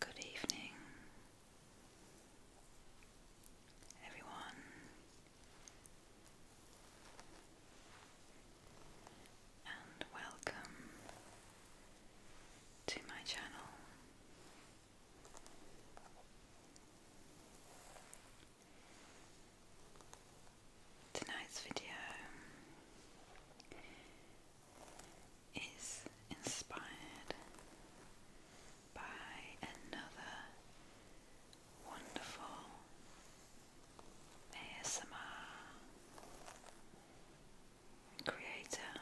Good evening, everyone. And welcome to my channel. Tonight's video is inspired by another wonderful ASMR creator,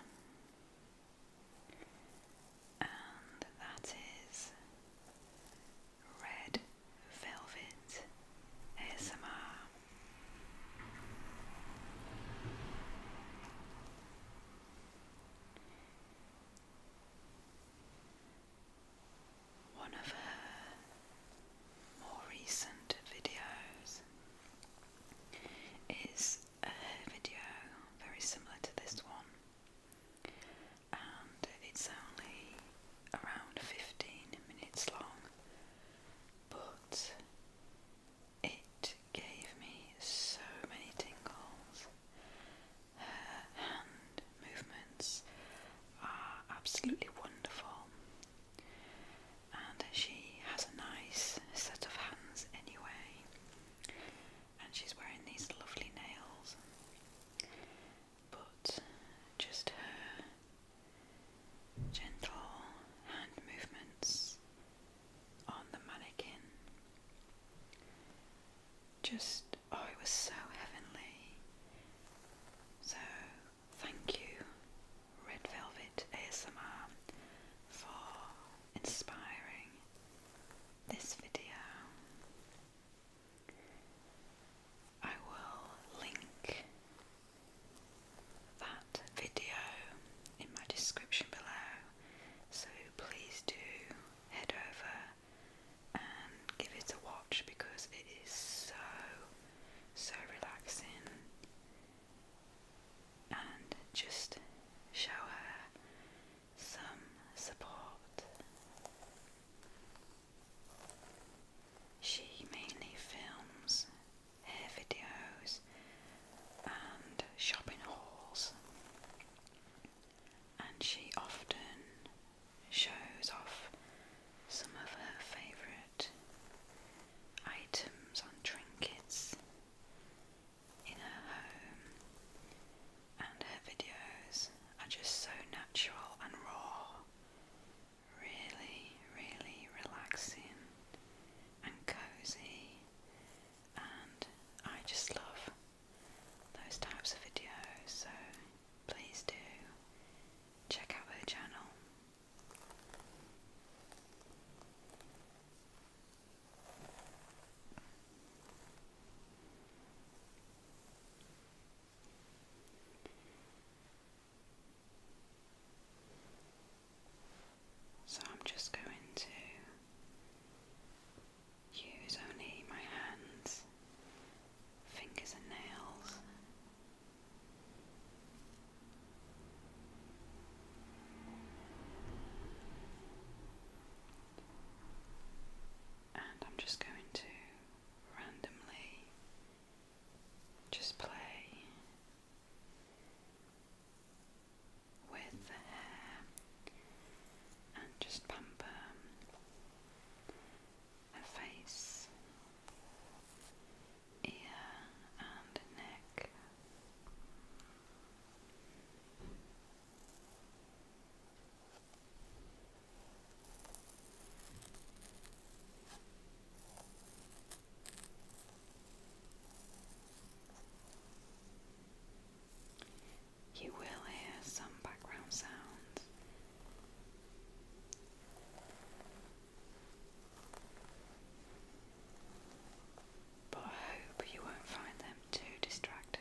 and that is Red Velvet ASMR. One of her more recent videos is a video very similar to this one, and it's only around 15 minutes long, but it gave me so many tingles. Her hand movements are absolutely wonderful, and she has a nice set of hands anyway. And she's wearing these lovely nails, but just her gentle hand movements on the mannequin. Just, oh, it was so heavenly. So, thank you, Red Velvet ASMR, for inspiring this video. I will link that video in my description below. So please do head over and give it a watch because it is so, so relaxing. And just show her some support. She mainly films hair videos and shopping hauls, and she often shows off some of her favourite items and trinkets in her home, and her videos are just so natural and raw, really, really relaxing and cozy and I just love those types of videos, so please do check out her channel. So I'm just going to use only my hands, fingers, and nails. And I'm just going to randomly just play with the hair and just pamper her face, ear, and neck. You will hear some background sounds. But I hope you won't find them too distracting.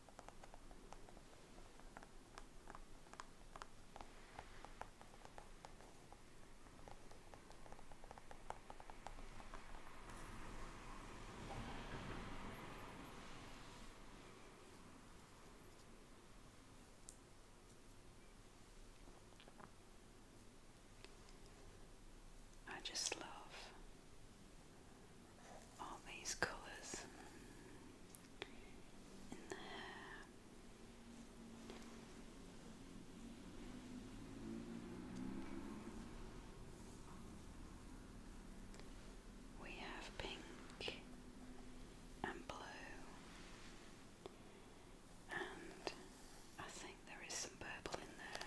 I just love all these colours in the We have pink and blue, and I think there is some purple in there.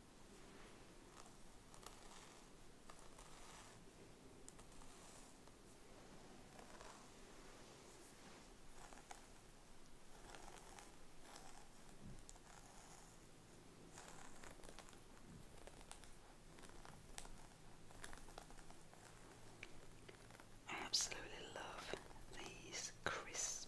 I absolutely love these crisp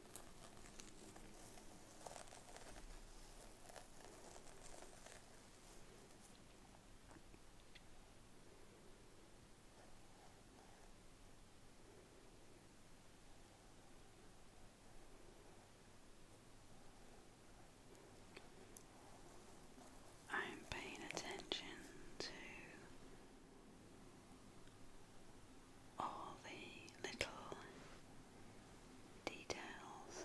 I'm paying attention to all the little details.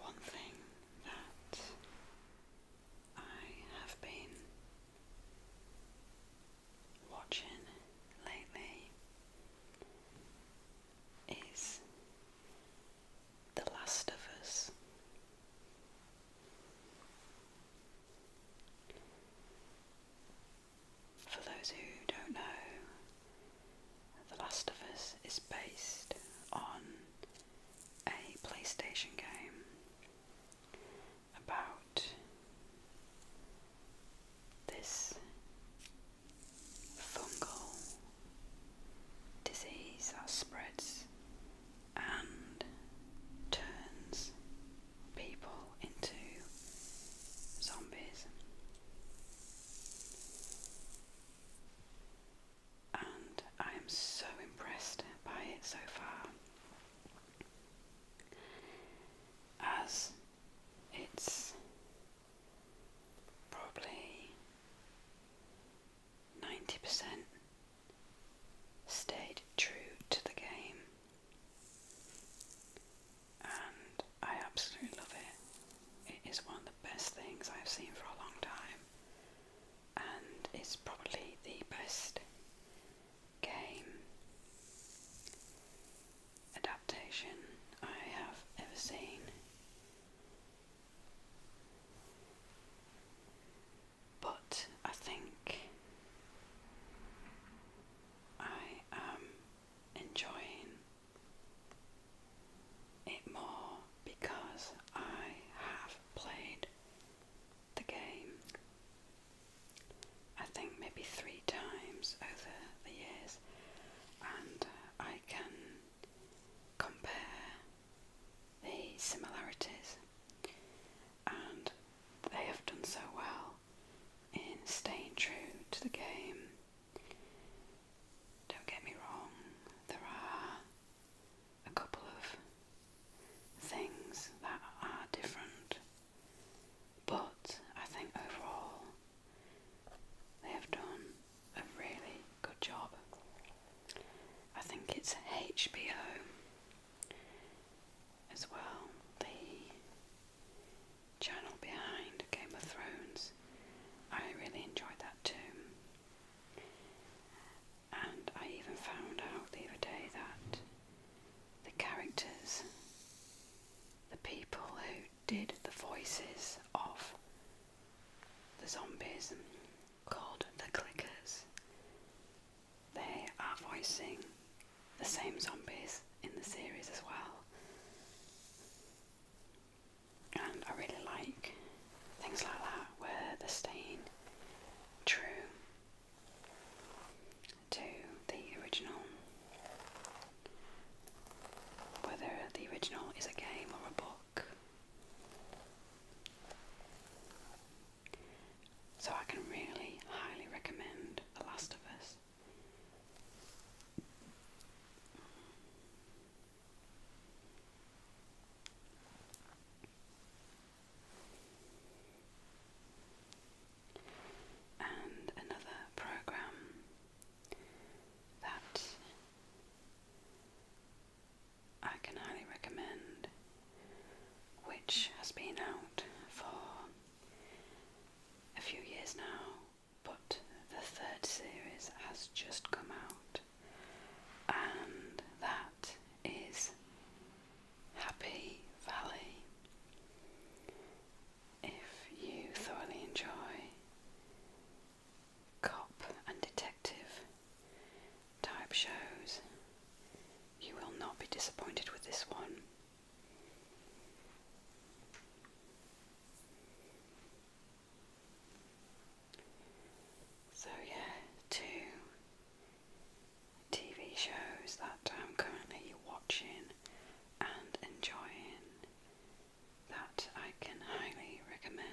One thing that I have been watching lately is The Last of Us. For those who don't know, The Last of Us is based on a PlayStation game about this fungal disease that spreads and turns people into zombies. And I am so impressed by it so far, as it's probably 90% stayed true to the game, and I absolutely love it. It is one of the best things I've seen for a long time, and it's probably the best game adaptation I have ever seen. But I think I am enjoying it more because I have played the game I think maybe three times over the years and uh, I can compare the similarities, and they have done so well in staying true to the game. Don't get me wrong, there are a couple of things that are different, but I think overall they have done a really good job. I think it's HBO as well, the channel behind Game of Thrones. I really enjoyed that too. And I even found out the other day that the characters, the people who did the voices of the zombies called the Clickers. They are voicing the same zombies in the series as well. And I really like things like that where they're staying true to the original. Whether the original is a game or a book. So I can really highly recommend The Last of Us. And another program that I can highly recommend, which has been out for a few years now, but the third series has just come out, and that is Happy Valley. If you thoroughly enjoy cop and detective type shows. You will not be disappointed with this one. So, yeah, two TV shows that I'm currently watching and enjoying that I can highly recommend.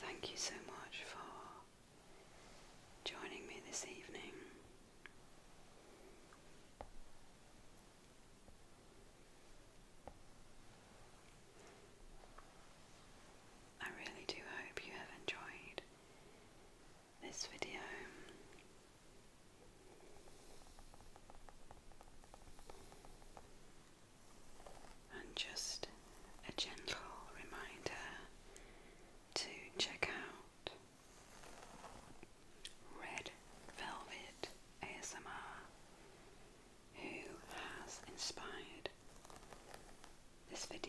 Thank you so much for joining me this evening. I really do hope you have enjoyed this video. And just a gentle reminder to check out Red Velvet ASMR who has inspired this video.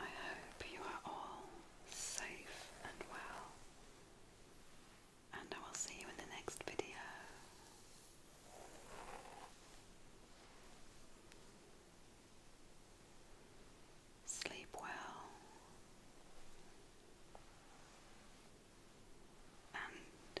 I hope you are all safe and well, and I will see you in the next video. Sleep well and